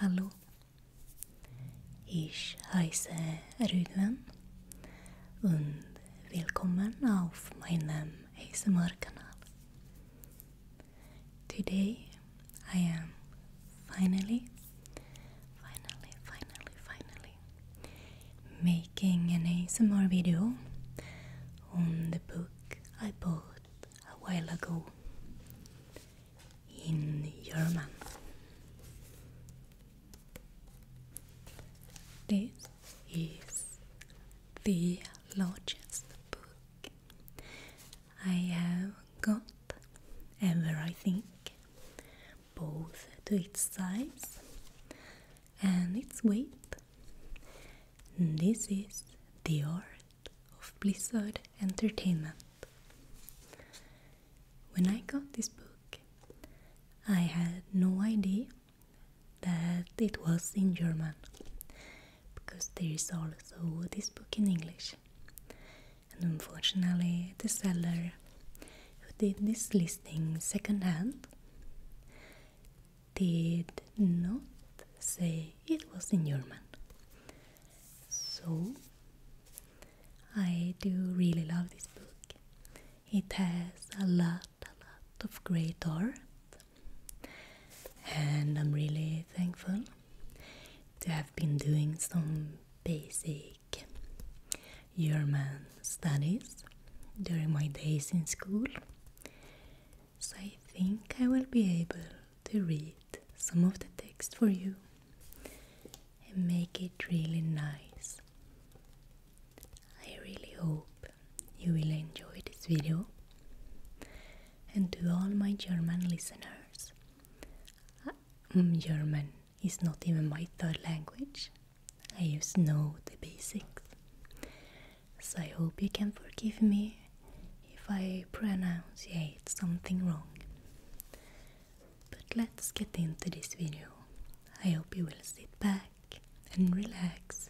Hallo. Ich heiße Rüdven welcome on my meinem ASMR-Kanal. Today I am finally, finally, finally, finally making an ASMR video on the book I bought a while ago in German. This is the largest book I have got ever, I think, both to its size and its weight. This is The Art of Blizzard Entertainment. When I got this book, I had no idea that it was in German because there is also this book in English. And unfortunately, the seller who did this listing secondhand did not say it was in German. So I do really love this book. It has a lot, a lot of great art, and I'm really thankful to have been doing some basic German studies during my days in school so I think I will be able to read some of the text for you and make it really nice. I really hope you will enjoy this video and to all my German listeners. Uh, mm, German is not even my third language. I just know the basics. So I hope you can forgive me if I pronunciate something wrong. But let's get into this video. I hope you will sit back and relax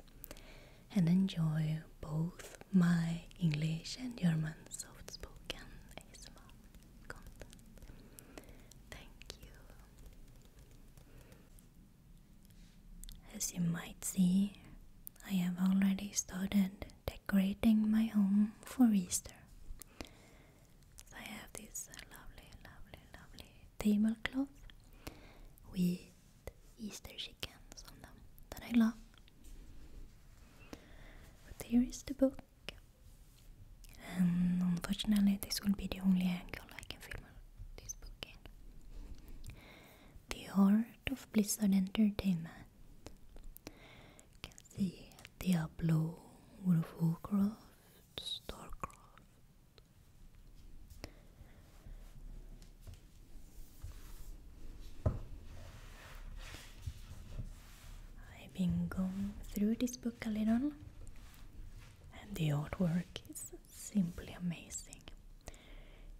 and enjoy both my English and German soft spoken ASMR content. Thank you. As you might see, I have already started decorating my home for Easter. I have this lovely, lovely, lovely tablecloth with Easter chickens on them that I love. But here is the book. And unfortunately, this will be the only angle I can film this book in. The Art of Blizzard Entertainment can see Diablo, World Starcraft. I've been going through this book a little, and the artwork is simply amazing.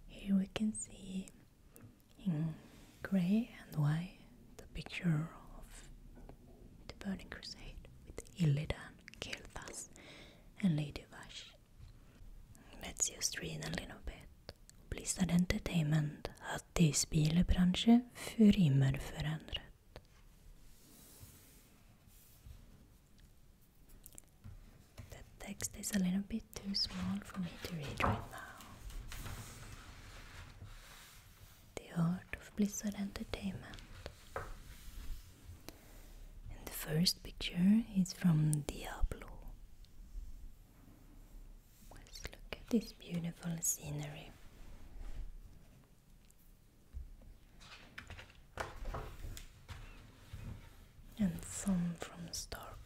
Here we can see in grey and white, the picture of the Burning Crusade with Illidan, Kel'Thas, and Lady Vash. Let's just read a little bit. Please, that Entertainment this be the branch för immer förändrat text is a little bit too small for me to read right now. The Art of Blizzard Entertainment. And the first picture is from Diablo. Let's look at this beautiful scenery. And some from StarCraft.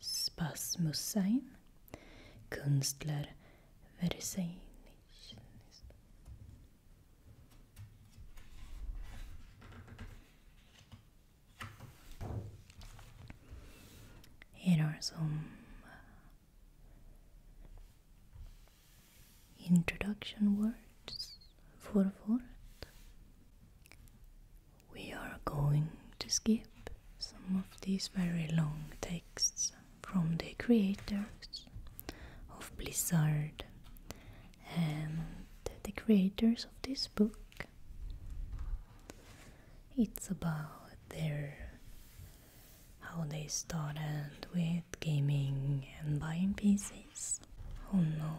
Spasmus sein, Künstler Versailles. Here are some uh, introduction words for a word. We are going to skip some of these very long texts from the creators of Blizzard and the creators of this book. It's about their how they started with gaming and buying PCs. Oh no.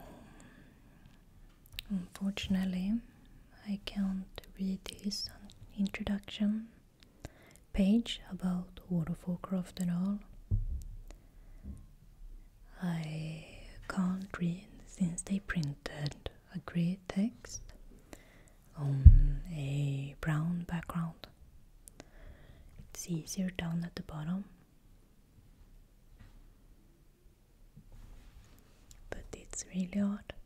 Unfortunately, I can't read this introduction page about World and all. I can't read since they printed a grey text on a brown background. It's easier down at the bottom. But it's really hard.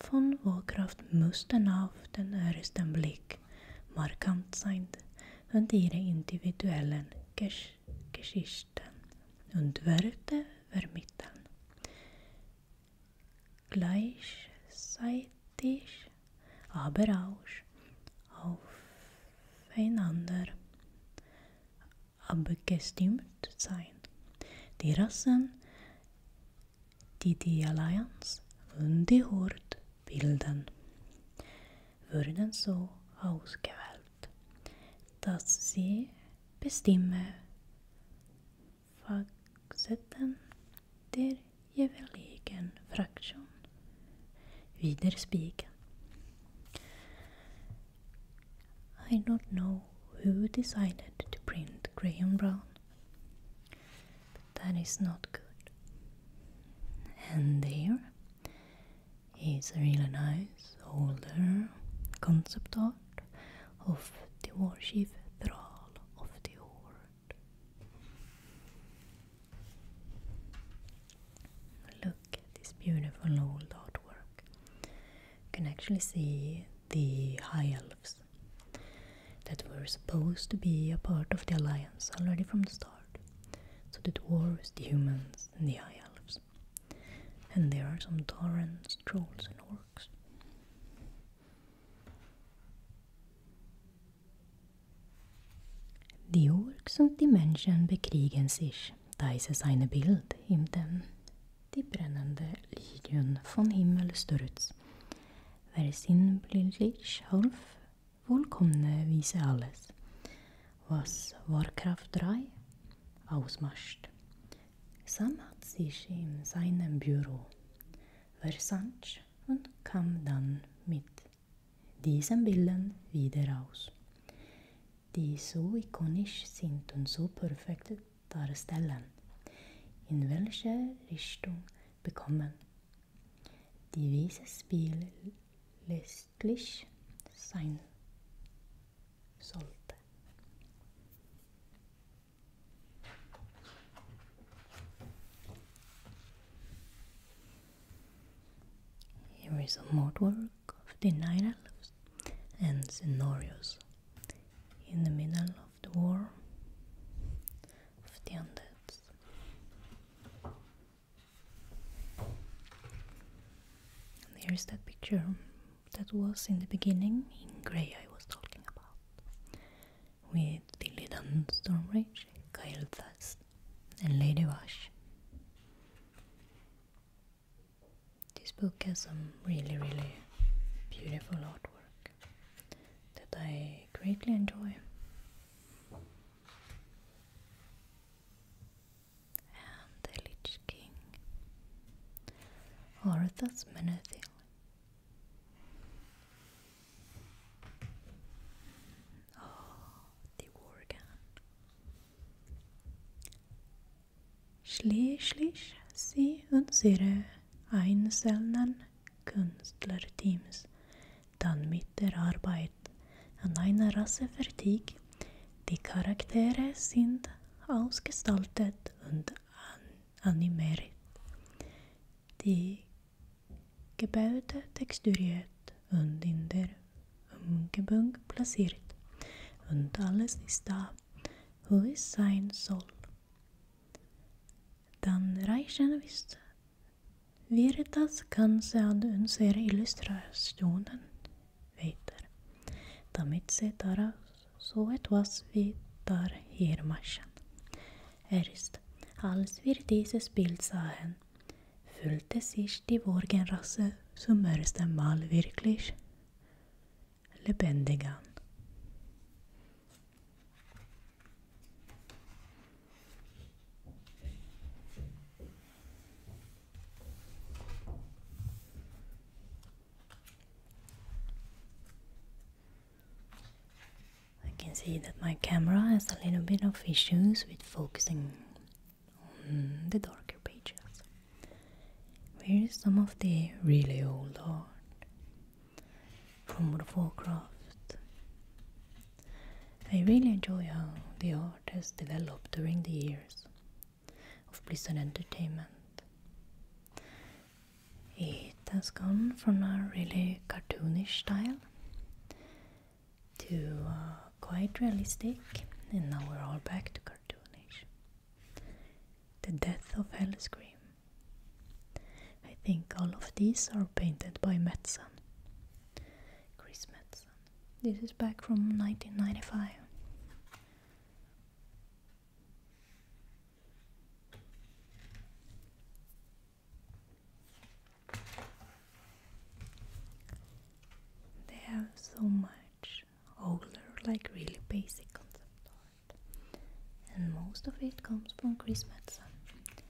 von Warcraft müssten auf den ersten Blick markant sein und ihre individuellen Gesch Geschichten und Werte vermitteln. Gleichzeitig aber auch aufeinander abgestimmt sein. Die Rassen Didi Alliance underhört bilden. Wurden så ausgewählt, dass sie bestimme Facetten der jeweiligen Fraktion widerspiegeln. I don't know who decided to print Graham Brown. that is not good. And there is a really nice older concept art of the worship Thrall of the Horde. Look at this beautiful old artwork. You can actually see the higher that were supposed to be a part of the alliance already from the start. So the dwarves, the humans, and the high elves. And there are some Taurans, trolls, and orcs. Die Orks und die Menschen bekriegen sich, da ist es Bild im Dem, die brennende Lilien von Himmel stürzt, Wer sinnbildlich half, vollkommen wies alles, was Warcraft 3 ausmacht. Sam hat sich in seinem Büro versandt und kam dann mit diesen Bildern wieder raus, die so ikonisch sind und so perfekt darstellen, in welche Richtung bekommen Dieses Spiel lässlich sein sollte. Here is a mod of the Nine Elves and Cenorius in the middle of of the War of the Undead. There's that picture that was in the beginning in grey I was talking about with Illidan Stormrage, Kyle Thas, and Lady Wash. This book has some really, really beautiful artwork that I greatly enjoy. And the Lich King or that's Oh, the organ. Schlich, schlich, sie und ihre einzelnen Künstlerteams dann mit der Arbeit an einer Rasse fertig. Die Charaktere sind ausgestaltet und an animiert. Die Gebäude texturiert und in der Umgebung platziert. Und alles ist da, wo es sein soll. Dann reichen ist Virtas kanske anser illustrationen väder. Damit se taras så etwas vi tar hirmaschen. Erst als wir dieses Bild sahen, fühlte sich die Morgenrasse zum ersten Mal wirklich lebendig an. I can see that my camera has a little bit of issues with focusing on the darker pages. Where is some of the really old art? from World of Warcraft. I really enjoy how the art has developed during the years of Blizzard Entertainment. It has gone from a really cartoonish style to uh, quite realistic, and now we're all back to cartoonish. The Death of Hellscream I think all of these are painted by Matsun, Chris Metzen. This is back from 1995. They have so much older, like really basic concept art, and most of it comes from Chris Metzen.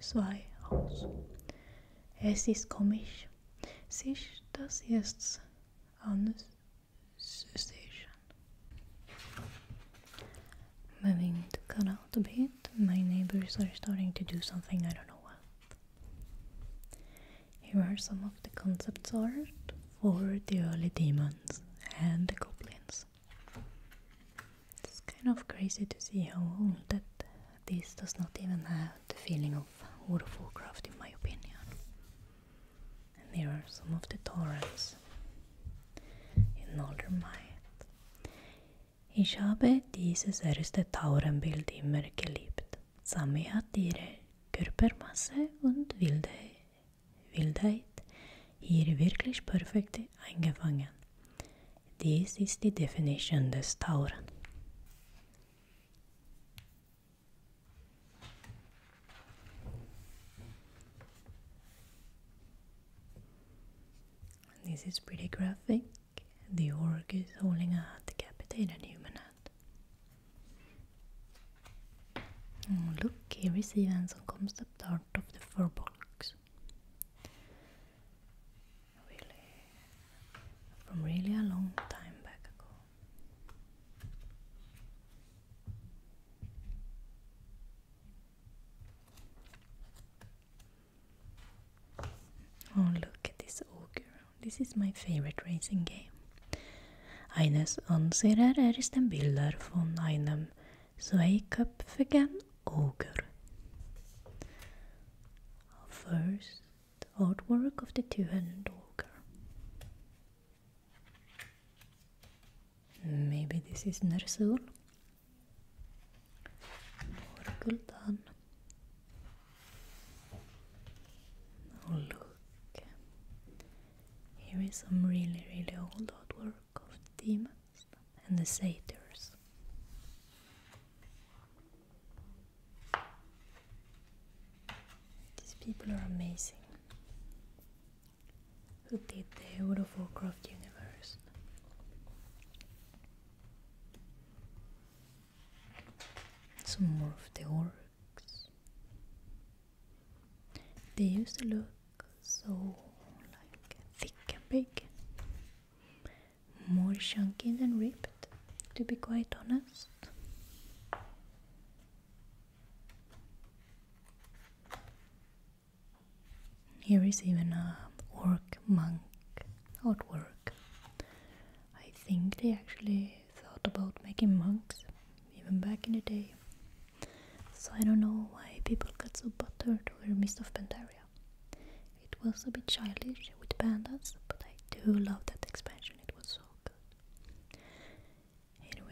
zwei aus. Es ist komisch, sich das jetzt anzusehen. Moving the cut out a bit, my neighbors are starting to do something I don't know what. Here are some of the concepts art for the early demons and the goblins. It's kind of crazy to see how old that this does not even have the feeling of World of in my opinion. And here are some of the torrents in older Might. Ich habe dieses erste Taurenbild immer geliebt. Sami hat ihre Körpermasse und Wilde, Wildheit hier wirklich perfekt eingefangen. This is the definition of the Tauren. This is pretty graphic. The orc is holding a decapitated human hand. Oh, look, here is Ivan som kom stepdart of the four box really from really a long time back ago. Oh, look at this ogre. This is my favorite racing game. Eines unserer er ist ein Bilder von einem so again, Ogre. Our first artwork of the two-handed ogre. Maybe this is Nersul. Or Guldan. Oh look, here is some really really old artwork of demons and the satyrs. These people are amazing. Who did the World of Warcraft universe? Some more of the orcs. They used to look so like thick and big more chunky than ripped, to be quite honest. Here is even a orc monk artwork. I think they actually thought about making monks even back in the day. So I don't know why people got so buttered over Mist of Pandaria. It was a bit childish with pandas, but I do love that expansion, it was so good. Here uh,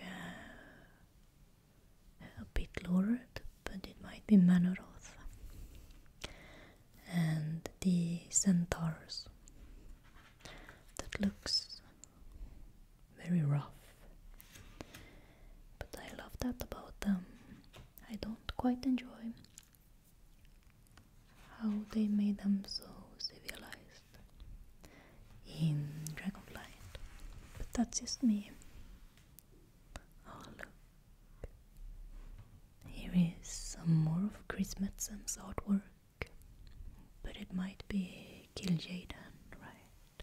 we a bit lowered, but it might be Manoroth. And the centaurs. That looks very rough. But I love that about them. I don't quite enjoy how they made them so civilized in Dragonflight, but that's just me. Oh look, here is some more of Chris Metzen's artwork, but it might be Kill Jaden, right?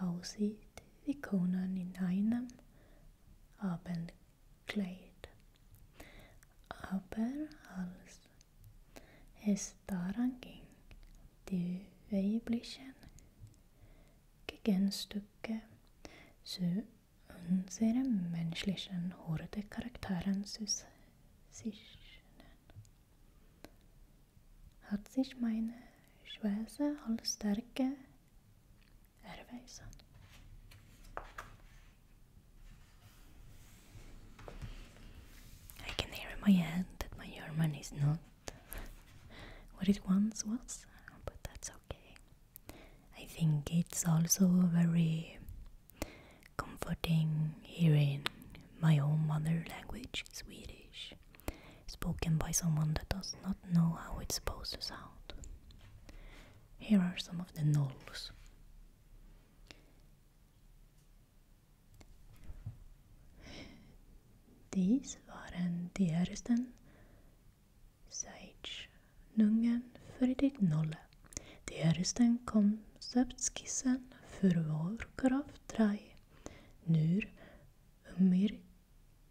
aussieht wie Conan in einem Abendkleid. Aber als es die weiblichen Gegenstücke zu unseren menschlichen Horde-Charakteren zu sichern. I can hear in my head that my German is not what it once was, but that's okay. I think it's also very comforting hearing my own mother language, Swedish. spoken by someone that does not know how it's supposed to sound. Here are some of the nulls. Dies waren die ersten Zeichnungen för nolle. Die ersten konceptskissen för vår 3. Nur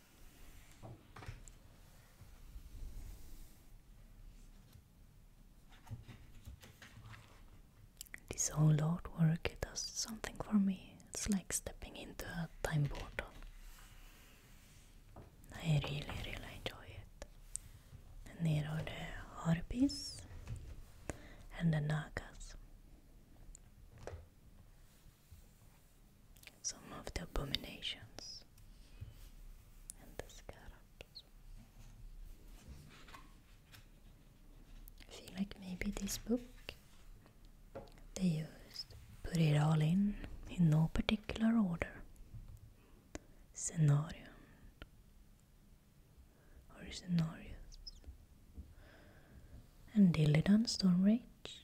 this. whole artwork it does something for me. It's like stepping into a time portal. I really, really enjoy it. And here are the harpies and the nagas some of the abominations and the scarabs. I feel like maybe this book they used put it all in in no particular order. Scenarion or scenarios and Illidan Stormrage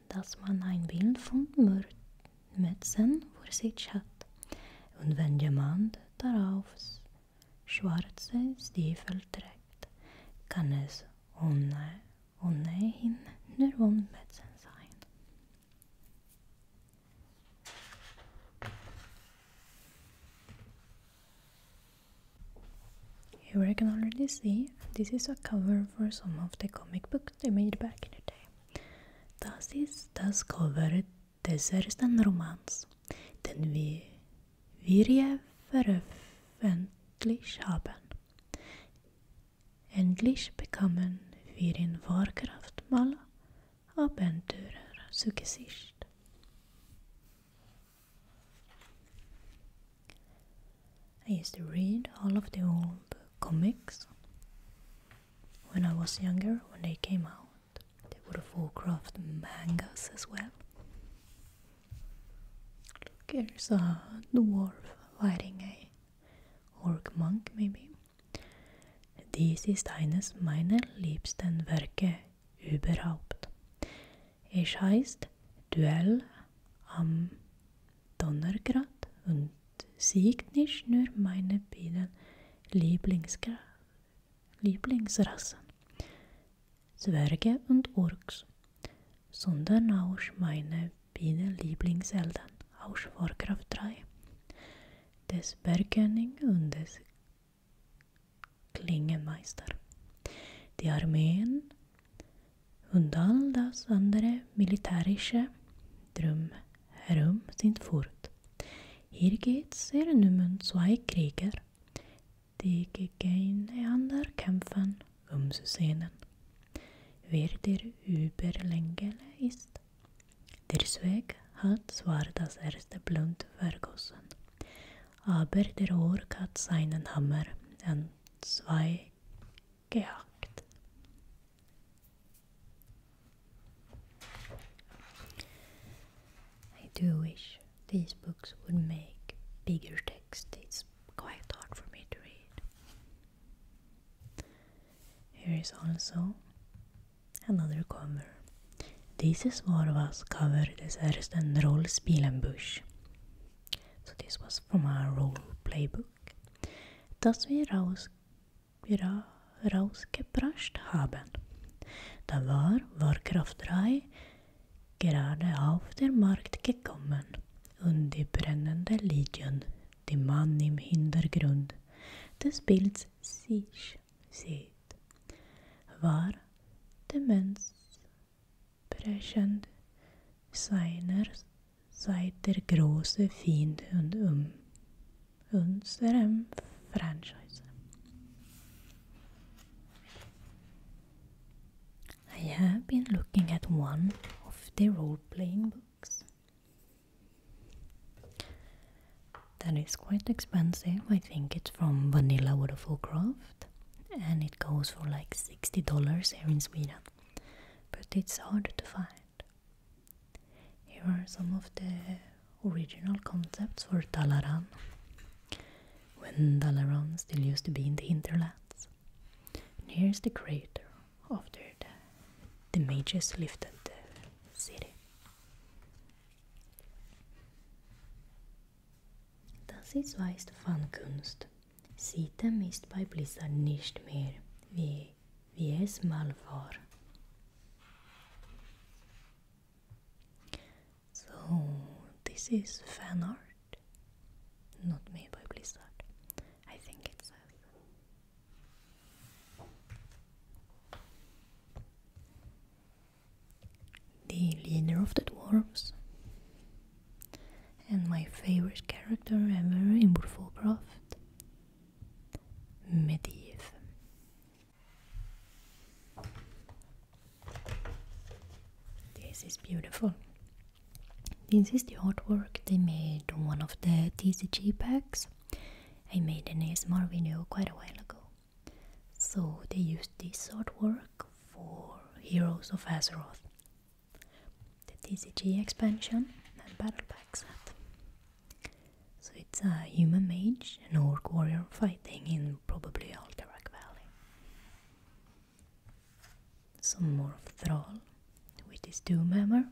dass man ein Bild von Mützen vor sich hat und wenn jemand darauf schwarze Stiefel trägt, kann es ohne, ohnehin nur Wohnmützen sein. Here we can already see this is a cover for some of the comic book product they made back in the day. Das ist das Cover des ersten Romans, den wir, wir veröffentlicht haben. Endlich bekamen wir in Warcraft mal Abenteurer zu Gesicht. I used to read all of the old comics when I was younger, when they came out. They were of Warcraft mangas as well. Look, here's a dwarf fighting a orc monk, maybe. This is ist eines meiner liebsten Werke überhaupt. Es heißt Duell am Donnergrad und siegt nicht nur meine beiden Lieblingsgra Lieblingsrassen, Zwerge und Orks, sondern auch meine beiden Lieblingseltern aus Warcraft 3, des Bergkönig und des Klingenmeister. Die Armeen und all das andere militärische drumherum sind fort. Hier geht's sehr um zwei Krieger, die gegeneinander kämpfen, um zu sehen, wer der Überlängele ist. Der Zweck hat zwar das erste Blunt vergossen, aber der Ork hat seinen Hammer an zwei gehackt. I do wish these books would make bigger text. It's quite hard for me to read. Here is also another cover. This Dieses var was cover des ersten Rollenspielenbusch. So this was from our role book. das wir, raus, wir rausgebracht haben. Da war Warcraft 3 gerade auf den Markt gekommen und die brennende Legion, die man im Hintergrund des Bilds sich sieht, war demenzbrechend seiner Seid der große Fiend und um unserem Franchise. I have been looking at one of the role-playing books. That is quite expensive. I think it's from Vanilla Waterfall Craft and it goes for like $60 here in Sweden. But it's hard to find. Here are some of the original concepts for Dalaran when Dalaran still used to be in the Interlats, And here's the crater after the, mages lifted the city. Das ist weißt von Kunst. Sitem ist bei Blizzard nicht mehr wie vi är smalvar. So this is fan art, not made by Blizzard. I think it says. The leader of the dwarves and my favorite character ever in Wolfcraft Medivh. This is beautiful. This is the artwork they made on one of the TCG packs. I made an ASMR video quite a while ago. So they used this artwork for Heroes of Azeroth the TCG expansion and battle pack set. So it's a human mage and orc warrior fighting in probably Alterac Valley. Some more of Thrall with his Doomhammer.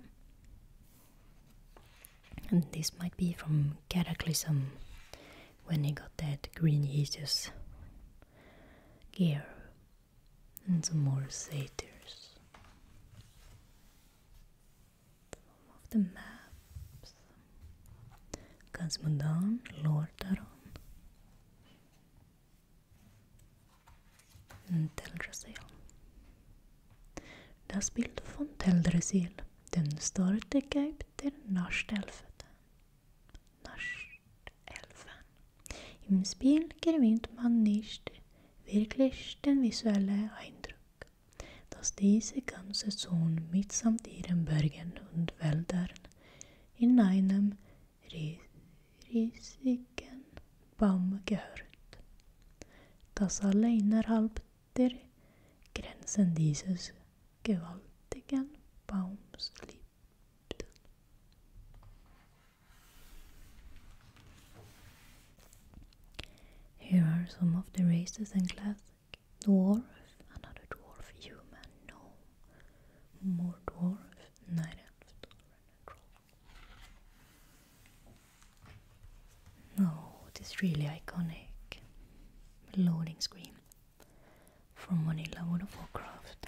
And this might be from Cataclysm when he got that Green Jesus gear. And some more satyrs. Some of the maps. Kazmodan, Lordaron. Teldrassil. Das Bild von Teldrassil, den störte Geib der Naschtelfeten. Naschtelfen. Im Spiel gewinnt man nicht wirklich den visuellen Eindruck, dass diese ganze Zone mitsamt ihren Bergen und Wäldern in einem riesigen Baum gehört, dass alle innerhalb der Grenzen dieses gewaltigen Baums lebten. Here are some of the races in Classic. Dwarf, another dwarf, human, no. More dwarf, night elf, dwarf, and troll. it is really iconic. Loading screen from Vanilla World of Warcraft.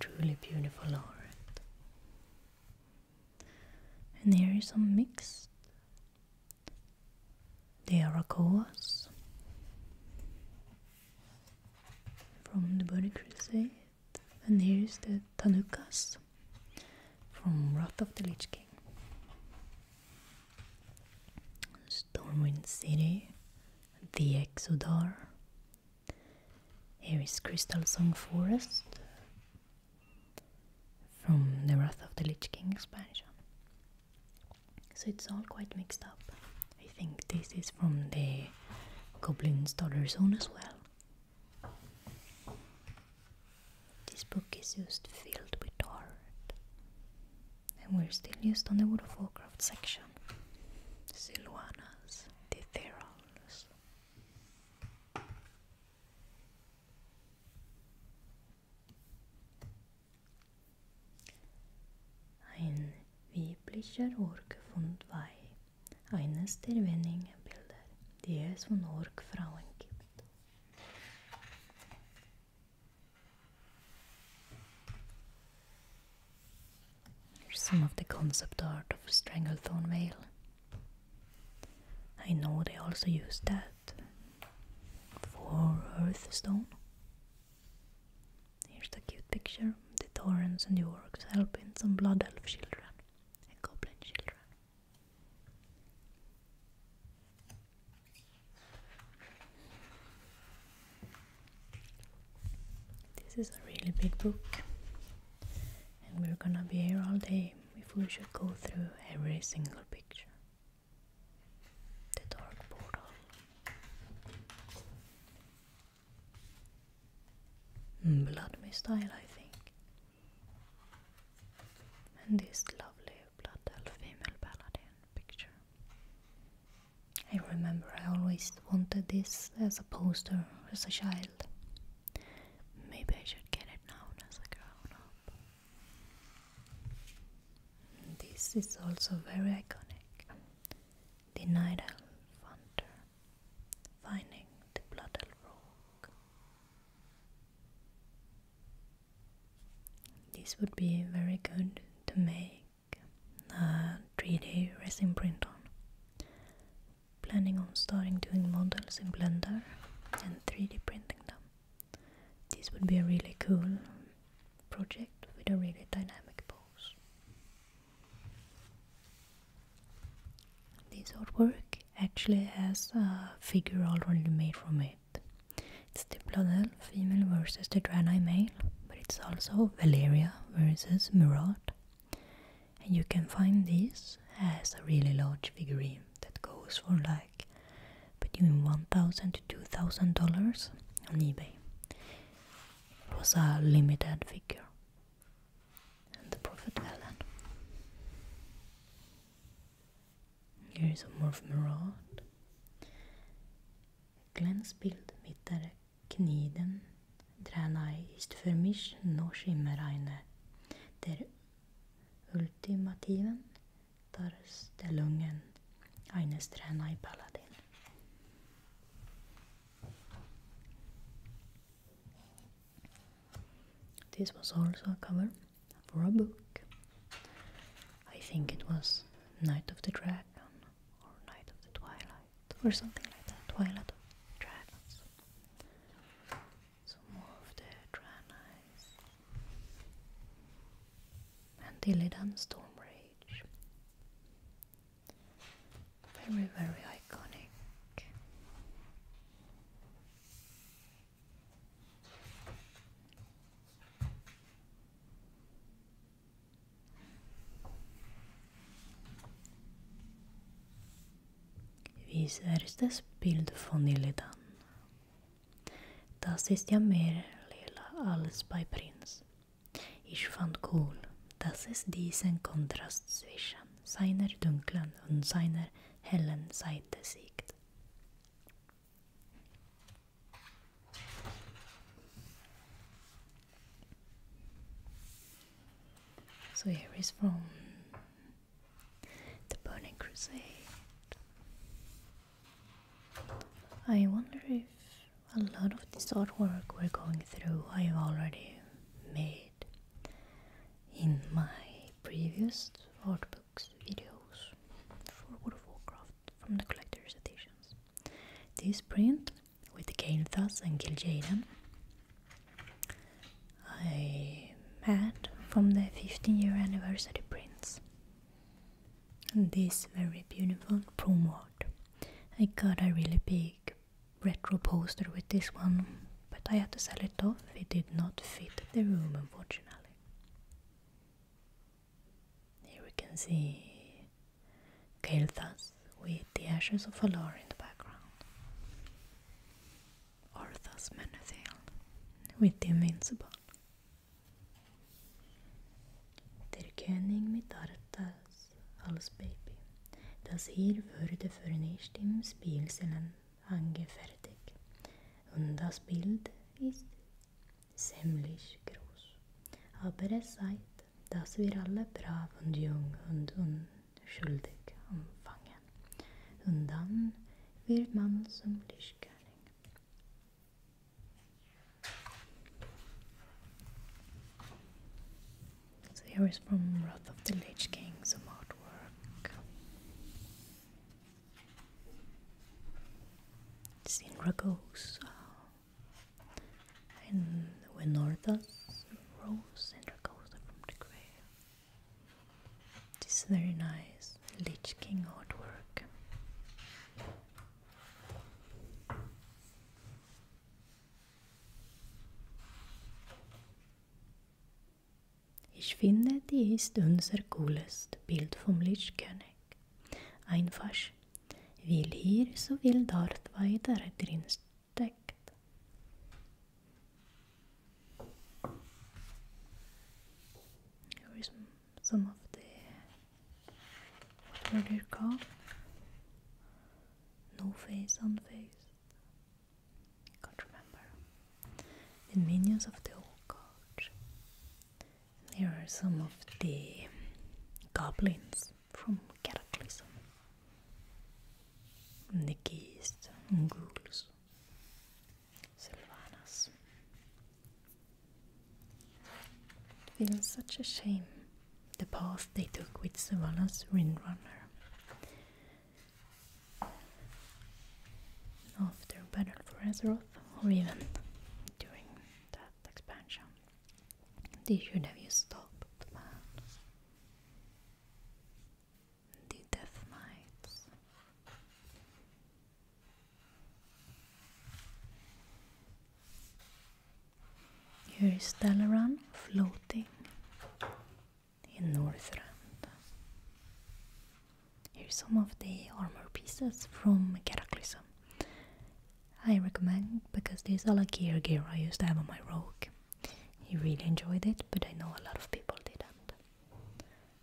Truly beautiful art and here is some mixed. There are Arakoas from the Burning Crusade, and here is the Tanukas from Wrath of the Lich King. Stormwind City, the Exodar. Here is Crystal Song Forest from the Wrath of the Lich King expansion. So it's all quite mixed up. I think this is from the Goblin's Daughter Zone as well. This book is just filled with art. And we're still used on the World section. Silvanas, Ditherals. Ein weiblicher Orkfund Weih, eines der wenigen Bilder, die es von Orkfrauen gibt. Here's some of the concept art of Stranglethorn Vale. I know they also use that for Earthstone. Here's the cute picture the Torrens and the Orcs helping some Blood Elf children and Goblin children. This is a really big book, and we're gonna be here all day if we should go through every single picture. The dark portal. Mm, blood mist I think. And this lovely blood female paladin picture. I remember I always wanted this as a poster as a child. Maybe I should get it now as a grown up. This is also very iconic. The Night Elf finding the Blood Elf Rock. This would be very good to make a 3D resin print on planning on starting doing models in Blender and 3D printing them. This would be a really cool project with a really dynamic pose. This artwork actually has a figure already made from it. It's the Planel female versus the Draenei male, but it's also Valeria versus Murad and you can find this as a really large figurine that goes for like between one thousand to two thousand dollars on eBay. It was a limited figure. And the Prophet Alan. Here is a more Murad. Glens bild mittar kniden, drar nej istför mich noch immer eine, this was also a cover for a book. I think it was Night of the Dragon or Night of the Twilight or something like that. Twilight of Dragons some more of the Dranice and Illidan Stormrage. Very, very iconic. Wie erstes Bild von Illidan. Das ist ja mehr lila als bei Prinz. Ich fand cool, dass es diesen Kontrast zwischen seiner dunklen und seiner hellen Seite siegt. So here is from The Burning Crusade. I wonder if a lot of this artwork we're going through I've already made in my previous art books videos for World of Warcraft from the collector's editions. This print with Kainthas and Gil'jaeden I met from the 15 year anniversary prints. This very beautiful prom art. I got a really big retro poster with this one, but I had to sell it off. It did not fit the room, unfortunately. Here we can see Kael'thas with the ashes of Valar in the background. are thus manifold with the invincible. Der König mit Arthas als Baby, das hier wurde förnischt im Spielsalon angefertigt und das Bild ist ziemlich groß. Aber es zeigt, dass wir alle brav und jung und unschuldig anfangen. Spanien. Und dann man zum Lichtkönig. So here is from Wrath of the Lich King, some artwork. It's in Ragosa. And when Northas rose and Ragosa from the grave. This very nice Lich King artwork. Ich finde, die ist unser coolest Bild vom Lichtkönig. Einfach, weil hier so viel Darth Vader drin steckt. Here is some of the what were No face on face. can't remember. The minions of the old coach. Here are some of the goblins from Cataclysm. the geese ghouls. Sylvanas. It feels such a shame the path they took with Sylvanas Windrunner. After Battle for Azeroth, or even during that expansion, they should have used Stop the Man the death mites. Here is Dalaran floating in Northrend. Here's some of the armor pieces from Cataclysm. I recommend because there's a lot of gear gear I used to have on my rogue. He really enjoyed it, but I know a lot of people didn't.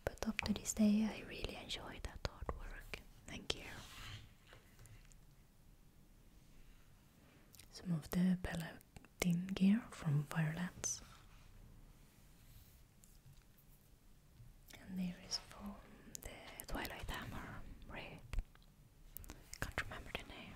But up to this day, I really enjoy that artwork. Thank you. Some of the Paladin gear from Firelands. And there is from the Twilight Hammer, Ray. Can't remember the name.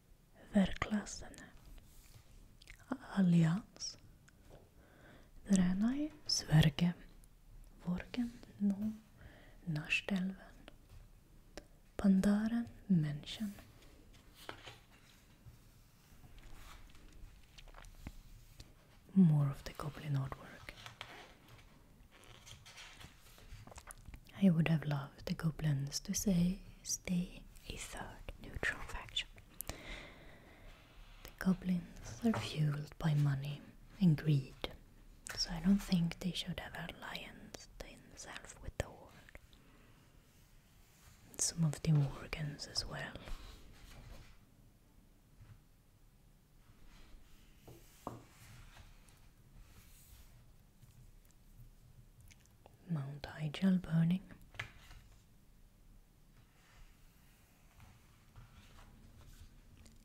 verklassen, alliance, Dränøy, Sverige, Vorgen, nå Norskelven, Pandaren, München. More of the goblin artwork. I would have loved the goblins to say, stay a third neutral faction. The goblins are fueled by money and greed, so I don't think they should have alliance themselves with the horde. Some of the organs as well. Mount Igel burning.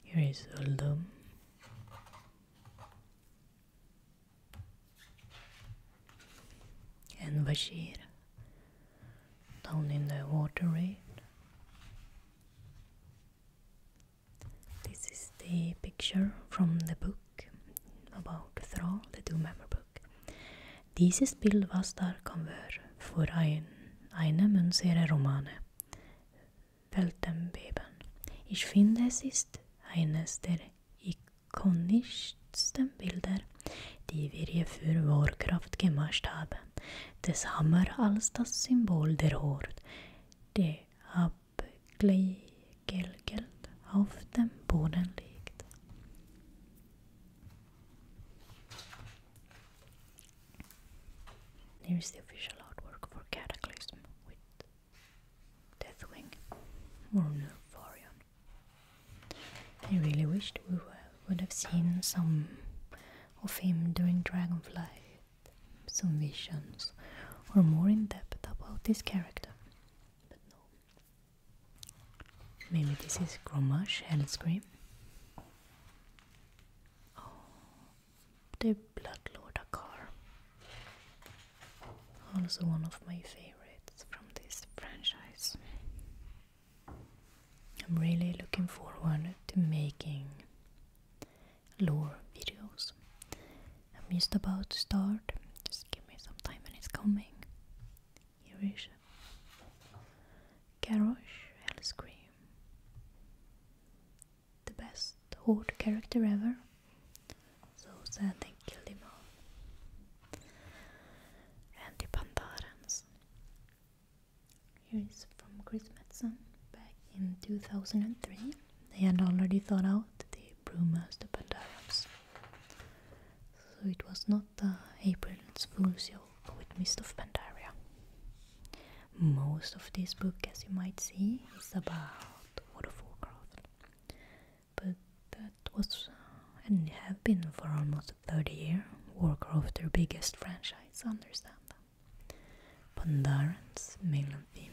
Here is Uldum. And Bashir down in the water This is the picture from the book about Thrall, the Doomhammer book. Dieses Bild var starkanvör för ein, einem unserer Romane. Weltenbeben. Ich finde, es ist eines der ikonischsten Bilder, die wir je für Warcraft gemacht haben. Des Hammer als das Symbol der Horde, der abgelgelt auf dem Boden liegt. Here is the official artwork for Cataclysm with Deathwing or Nymphorion. I really wished we would have seen some of him during Dragonflight, some visions, or more in depth about this character, but no. Maybe this is Gromash and Scream. Oh, the Blood Lord, Bloodlord car. Also one of my favorites from this franchise. I'm really looking forward to making lore videos. i missed about to start. Just give me some time and it's coming. Eurasia Garrosh Hellscream The best horde character ever So sad they killed him all And the Pandarans Here is from Chris Metzen back in 2003 They had already thought out the Bruma's the Pandarans so it was not the April Fool's Yoke with Mist of Pandaria. Most of this book, as you might see, is about World of Warcraft, but that was and have been for almost 30 years Warcraft, their biggest franchise, understand them. Pandarans, male and female.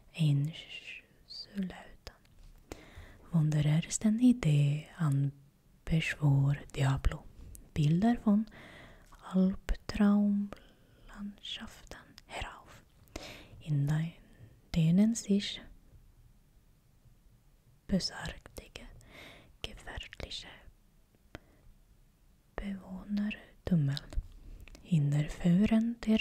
in slutan. Wanderersten Idé an Beschwor Diablo. Bilder von Albtraumlandschaften herauf, in denen sich besagtige, gefährliche Bewohner tummeln. Hinterführen der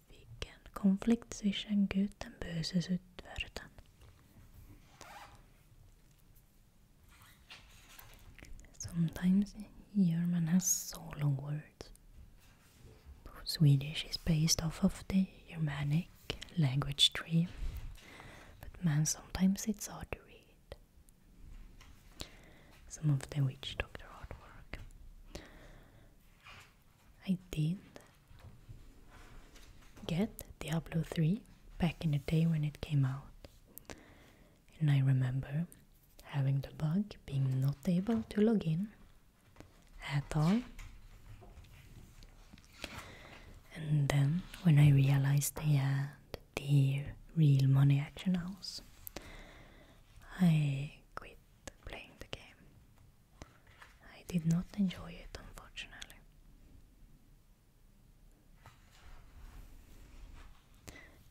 Sometimes German has so long words. Swedish is based off of the Germanic language tree, but man, sometimes it's hard to read. Some of the witch doctor work. I did get Diablo 3 back in the day when it came out. And I remember having the bug being not able to log in at all. And then when I realized they had the real money action house, I quit playing the game. I did not enjoy it, unfortunately.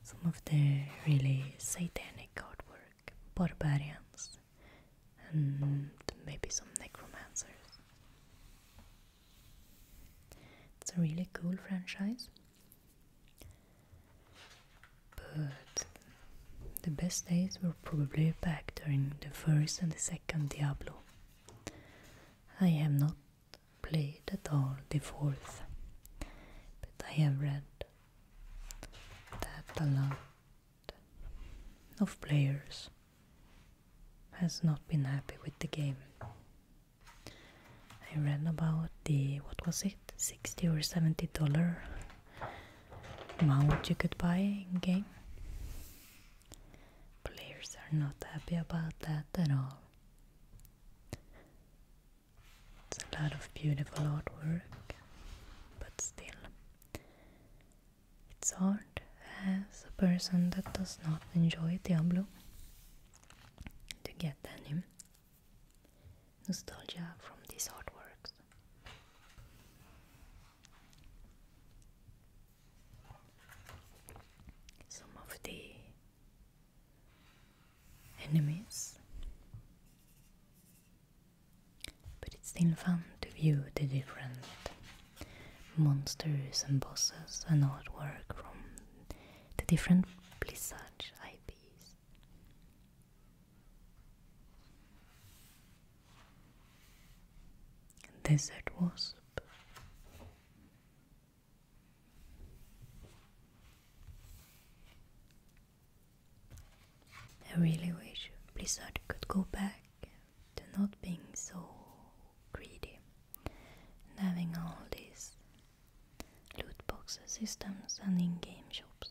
Some of the really satanic artwork, barbarians, and maybe some necromancers. It's a really cool franchise, but the best days were probably back during the first and the second Diablo. I have not played at all the fourth, but I have read that a lot of players has not been happy with the game. I read about the what was it, sixty or seventy dollar mount you could buy in game. Players are not happy about that at all. It's a lot of beautiful artwork, but still, it's hard as a person that does not enjoy Diablo to get any nostalgia from these artworks some of the enemies, but it's still fun to view the different monsters and bosses and artwork from the different Blizzard IPs. Desert wasp. I really wish Blizzard could go back to not being so greedy and having all these loot boxes systems and in game shops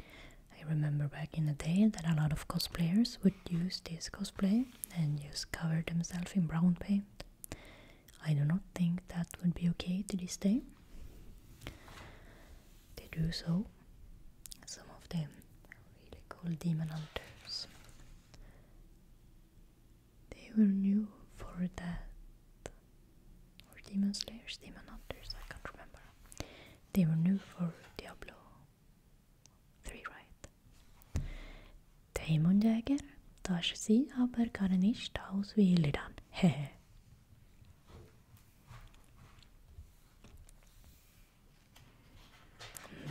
I remember back in the day that a lot of cosplayers would use this cosplay and just cover themselves in brown paint. I do not think that would be okay to this day. They do so. Some of them are really cool demon hunters. They were new for that. Or demon slayers, demon hunters, I can't remember. They were new for Diablo 3, right? Dämonjäger tar sie aber gar nicht aus wie Illidan. Hehe.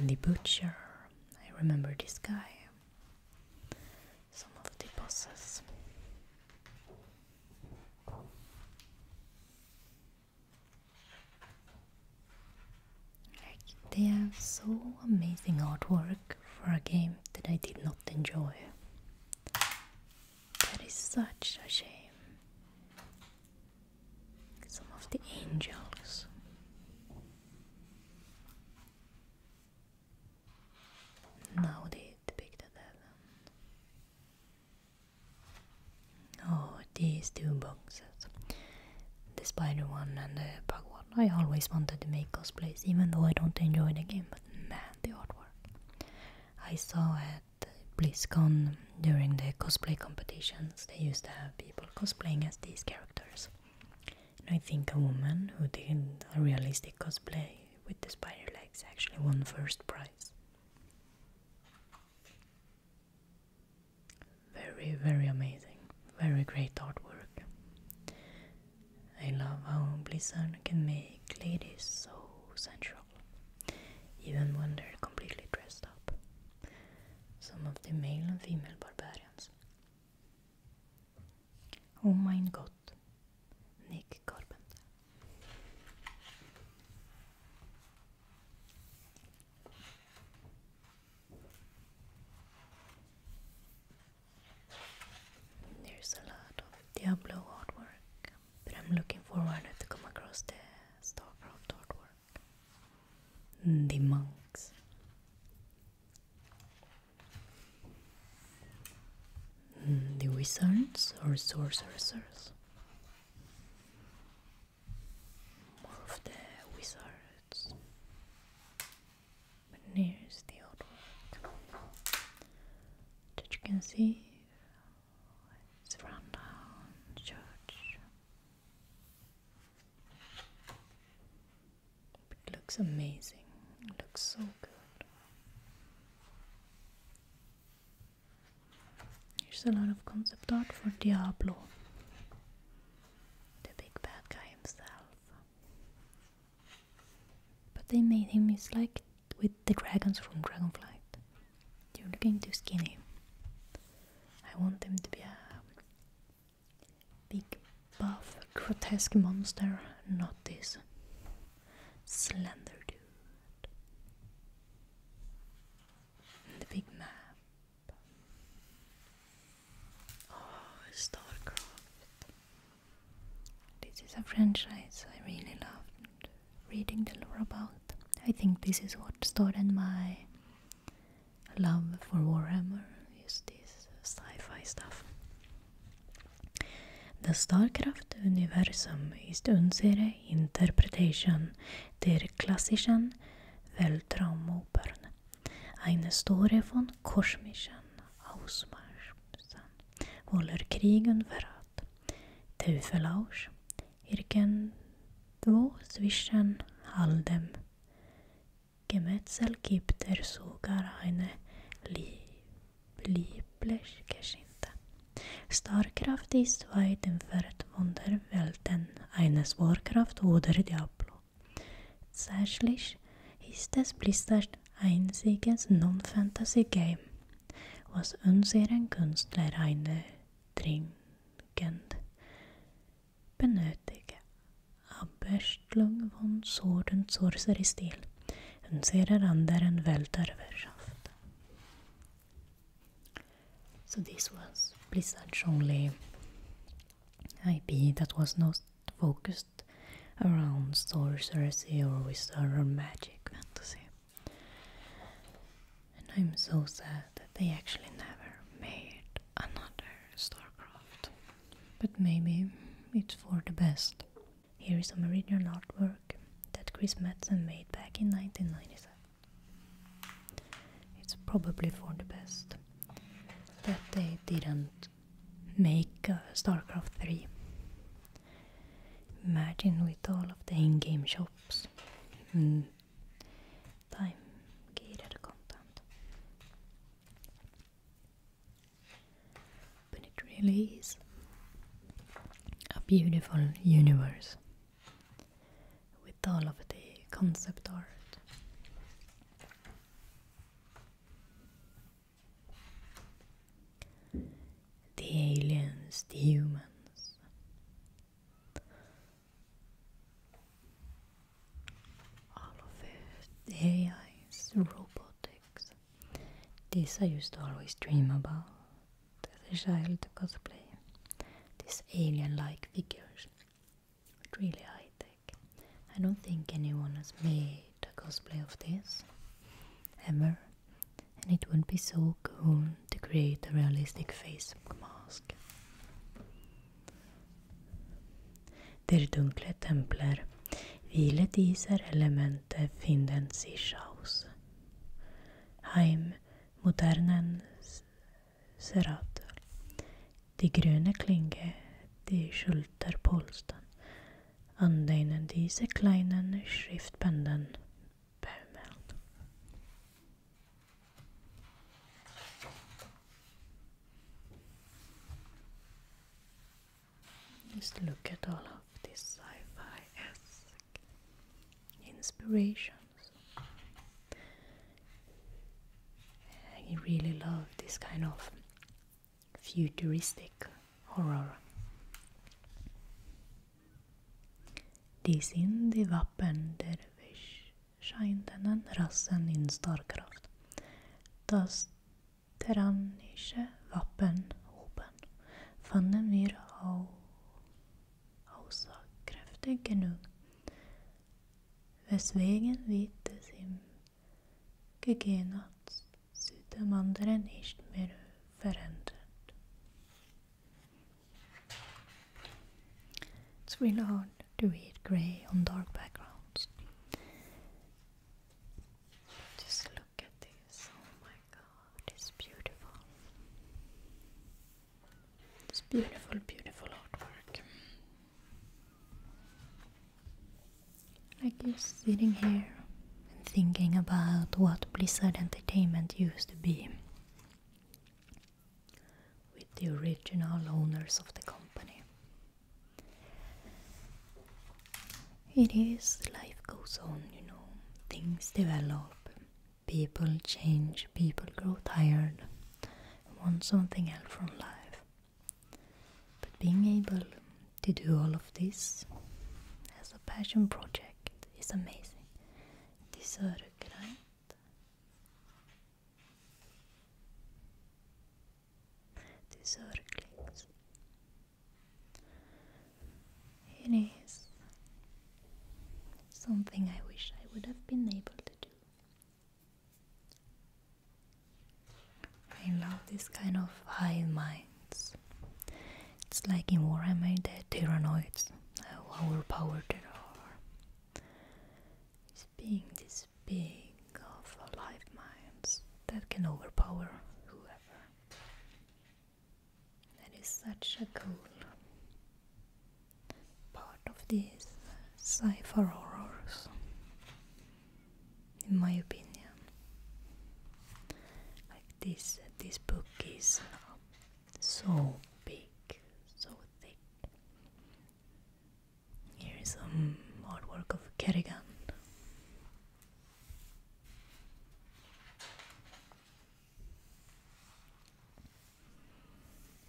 the butcher. I remember this guy. Some of the bosses they have so amazing artwork for a game that I did not enjoy. That is such a shame. Some of the angels. Now they depicted heaven. Oh, these two boxes. The spider one and the bug one. I always wanted to make cosplays, even though I don't enjoy the game, but man, the artwork. I saw at BlizzCon during the cosplay competitions, they used to have people cosplaying as these characters. I think a woman who did a realistic cosplay with the spider legs actually won first prize. Very, very amazing. Very great artwork. I love how Blizzard can make ladies so sensual, even when they're completely dressed up. Some of the male and female barbarians. Oh my god, Nick Carpenter. There's a lot of Diablo artwork, but I'm looking forward to come across the Starcraft artwork. The monks. Mm, the wizards or sorcerers one of the wizards nears the artwork that you can see it's rundown church it looks amazing, it looks so good there's a lot of concept art for Diablo, the big bad guy himself. But they made him is like with the dragons from Dragonflight. You're looking too skinny. I want him to be a big, buff, grotesque monster, not this slender dude the big map. Oh, Starcraft. This is a franchise I really loved reading the lore about. I think this is what started my love for Warhammer, is this sci-fi stuff. The Starcraft-Universum ist unsere Interpretation der klassischen Weltraumopern, eine Story von kosmischen Ausmaßen, voller Krieg und Verrat, Teufelausch, irgendwo zwischen all dem Gemetzel gibt er sogar eine liebliche Geschichte. Starkraft ist weit entfernt von der Welten eines Warcraft oder Diablo. Tatsächlich ist es Blizzard einziges Non-Fantasy-Game, was unseren Künstler eine dringend benötige Abwechslung von Sword- und Sorcery-Stil unserer anderen Welt erwirtschaftet. So this was Blizzard's only IP that was not focused around sorcery or wizard or magic fantasy. And I'm so sad that they actually never made another StarCraft. But maybe it's for the best. Here is a Meridian artwork that Chris Madsen made back in 1997. It's probably for the best that they didn't make uh, StarCraft 3. Imagine with all of the in game shops hmm. time gated content. But it really is a beautiful universe with all of the concept art. The aliens, the humans. All of it, the AIs, robotics. This I used to always dream about as a child to cosplay these alien-like figures. It's really high-tech. I don't think anyone has made a cosplay of this ever. And it would not be so cool to create a realistic face mask. Der dunkle templer hvilet iser elementet Heim modernen Serater. de grüne Klinge, die Schulterpolstern. An denen diese kleinen Schriftbänden baumeln. Just look at all of this sci-fi-esque inspiration. I really love this kind of futuristic horror. Dies in de Wappen dervish scheidenden Rassen in Starkraft, das tyrannische Wappen oben, fanden wir auch aussagekräftig genug, er weswegen wird es im Gegenatz zu dem anderen nicht mehr verändert. It's really hard to read grey on dark backgrounds. Just look at this. Oh my god, it's beautiful. It's beautiful, beautiful artwork. Like just sitting here and thinking about what Blizzard Entertainment used to be with the original owners of the company. It is, life goes on, you know, things develop, People change, people grow tired, want something else from life. But being able to do all of this as a passion project is amazing. These are great. clicks. It is something I wish I would have been able to do. I love this kind of high minds. It's like in Warhammer the Tyrannoids, how overpowered they It's being this big of live minds that can overpower whoever. That is such a cool part of these cipher fi horrors, in my opinion. Like this, this book is so big, so thick. Here is some artwork of Kerrigan.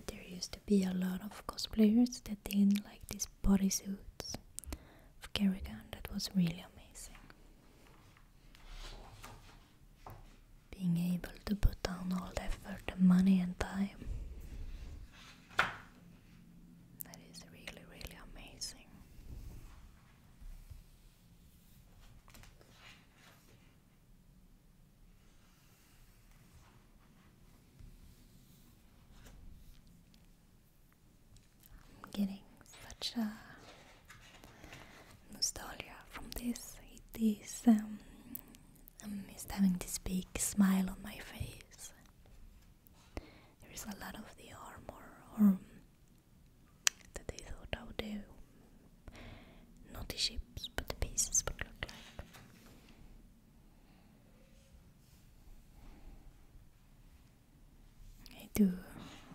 There used to be a lot of cosplayers that did like these bodysuits of Kerrigan. That was really amazing. Being able to put down all the effort and money and time. That is really, really amazing. I'm getting such a nostalgia from this. It is, um, I'm just having this big smile on my face. There is a lot of the armor or um, that they thought I would do not the ships, but the pieces would look like. I do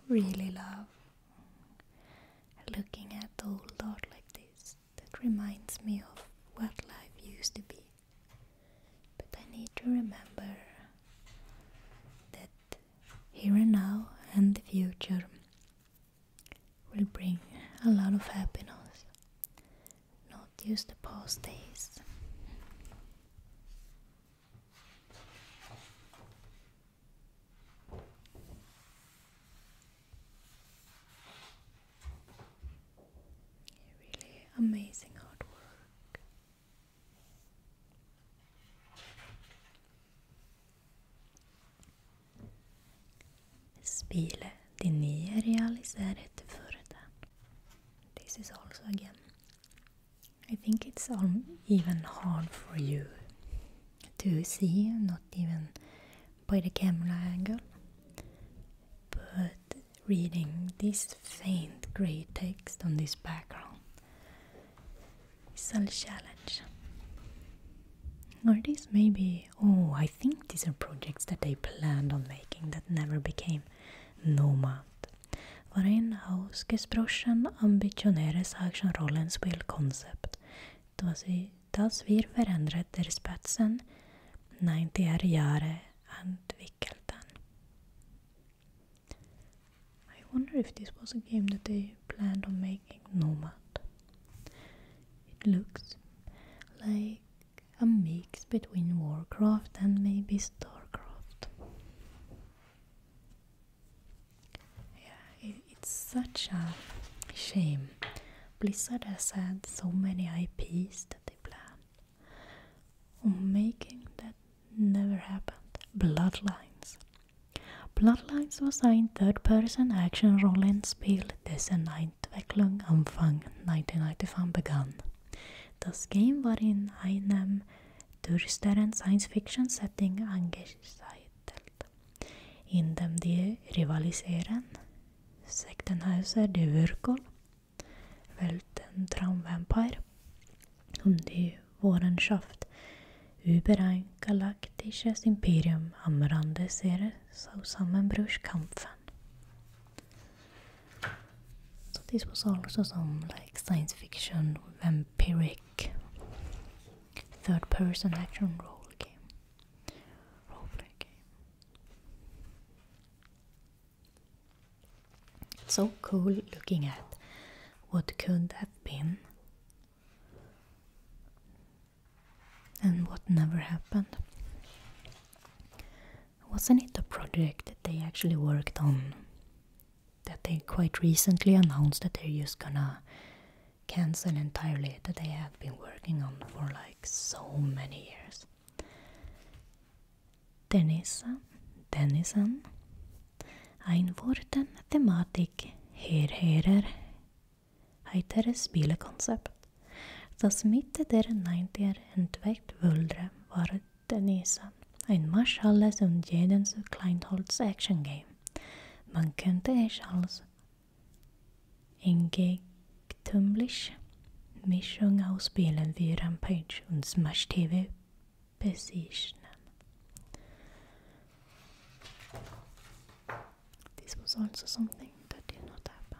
really love looking at old art like this. That reminds me of what life used to be. But I need to remember that here and now and the future will bring a lot of happiness, not just the past days. Really amazing artwork. Spille de nye realiserte Furden. This is also again. I think it's even hard for you to see, not even by the camera angle. But reading this faint grey text on this background is a challenge. Or this maybe oh, I think these are projects that they planned on making that never became Nomad. Varin Hausgesprochen ambitionäres actionrollen spelkoncept. Das wir förändrat der spetsen 90 er Jahre entwickelten. I wonder if this was a game that they planned on making Nomad. It looks like a mix between Warcraft and maybe Starcraft. Yeah, it's such a shame. Blizzard has had so many IPs that they plan making that never happened. Bloodlines. Bloodlines was a third person action role playing game designed Entwicklung Anfang 1995 begann. Das Game war in einem düsteren Science-Fiction-Setting angesiedelt, in dem die rivalisierenden Sektenhäuser die Würgel, Welten Traumvampire und die Wohrenschaft über ein galaktisches Imperium am Rande ihres Zusammenbruchs kämpfen. So this was also some like science fiction vampiric third person action role game. Roleplay game. It's so cool looking at what could have been and what never happened. Wasn't it a project that they actually worked on? That they quite recently announced that they're just gonna cancel entirely, that they had been working on for like so many years. Denison, Denison, Einvurten Thematik Herherer heitere spillkoncept. Das Mitte der 90er entdeckt Wöldre war Denisa, ein Marsch alles und jedens Kleinholz-Action-Game. Man könnte es als entgegentumlich Mischung aus Spielen wie Rampage und Smash TV bezeichnen. This was also something that did not happen.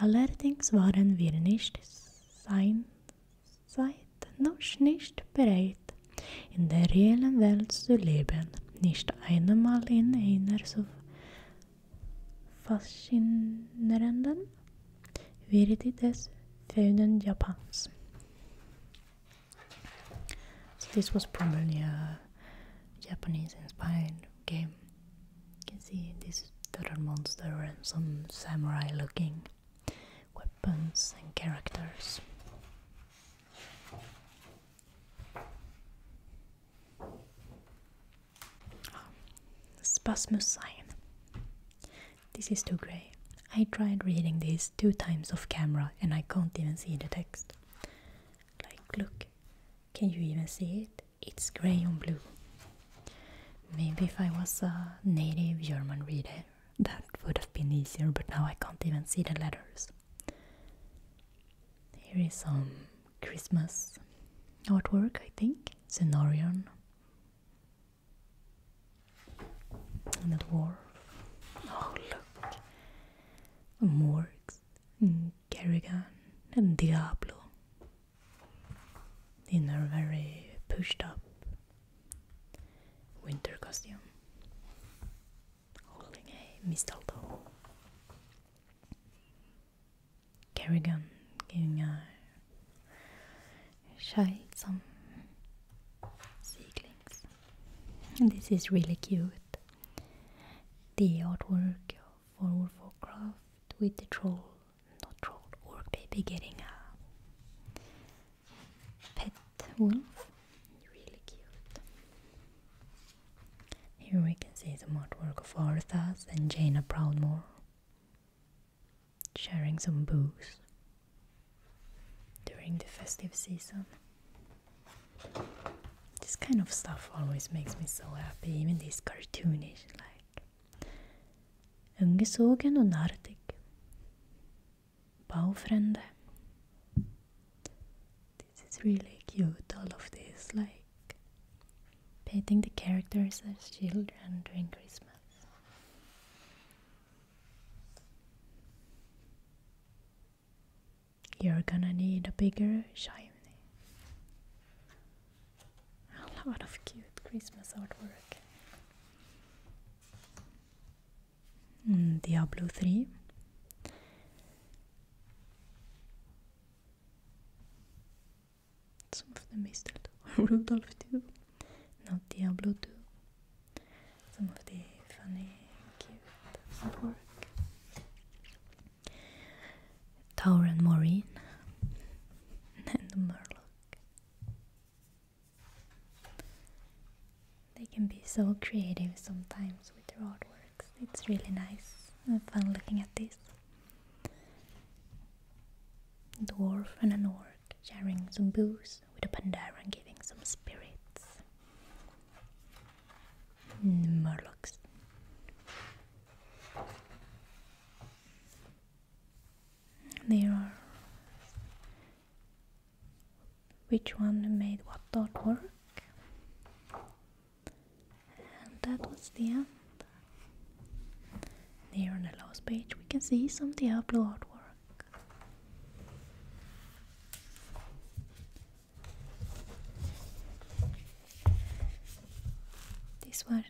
Allerdings waren wir nicht seinerzeit noch nicht bereit, in der reellen Welt zu leben, nicht einmal in einer so faszinierenden Würde des fehlenden Japans. So this was probably a Japanese-inspired game. You can see this total monster and some samurai looking weapons and characters. Oh, Spasmus sign. This is too grey. I tried reading this two times off camera and I can't even see the text. Like, look, can you even see it? it's grey and blue. Maybe if I was a native German reader, that would have been easier, but now I can't even see the letters. Here is some Christmas artwork, I think. Cenorion. And a dwarf. Oh, look. Morgs, and mm, Kerrigan, and Diablo in a very pushed up winter costume, holding a mistletoe. Kerrigan giving a shy some seedlings. this is really cute. The artwork for Warcraft with the troll not troll, or maybe getting a pet wolf. Really cute. Here we can see some artwork of Arthas and Jaina Proudmore sharing some booze during the festive season. This kind of stuff always makes me so happy, even this cartoonish, like Ungesogen och narrig. Baufrände. This is really cute, all of this, like painting the characters as children during Christmas. You're gonna need a bigger chimney. A lot of cute Christmas artwork. Mm, Diablo 3. Some of the mistletoe, still Rudolph 2. Not Diablo 2. Some of the funny, cute artwork. Tower and Maureen. and Merlot. They can be so creative sometimes with their artwork. It's really nice and fun looking at this. Dwarf and an orc sharing some booze with a pandaren and giving some spirits. Mm, Murlocs. There are which one made what artwork. And that was the end. Here on the last page we can see some Diablo artwork. This was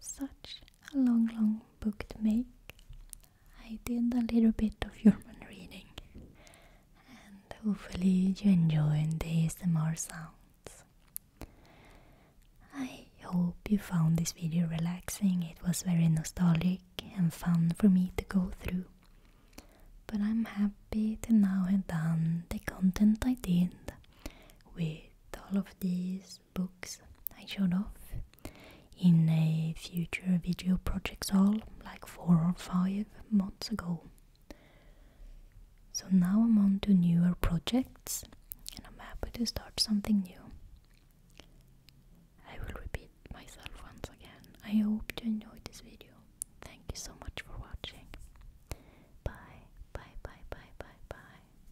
such a long, long book to make. I did a little bit of German reading, and hopefully, you enjoy enjoyed the ASMR sounds. I hope you found this video relaxing, it was very nostalgic and fun for me to go through. But I'm happy to now have done the content I did with all of these books I showed off in a future video projects all like four or five months ago. So now I'm on to newer projects and I'm happy to start something new. I will repeat myself once again. I hope you enjoyed this video. Thank you so much for watching. Bye, bye, bye, bye, bye, bye.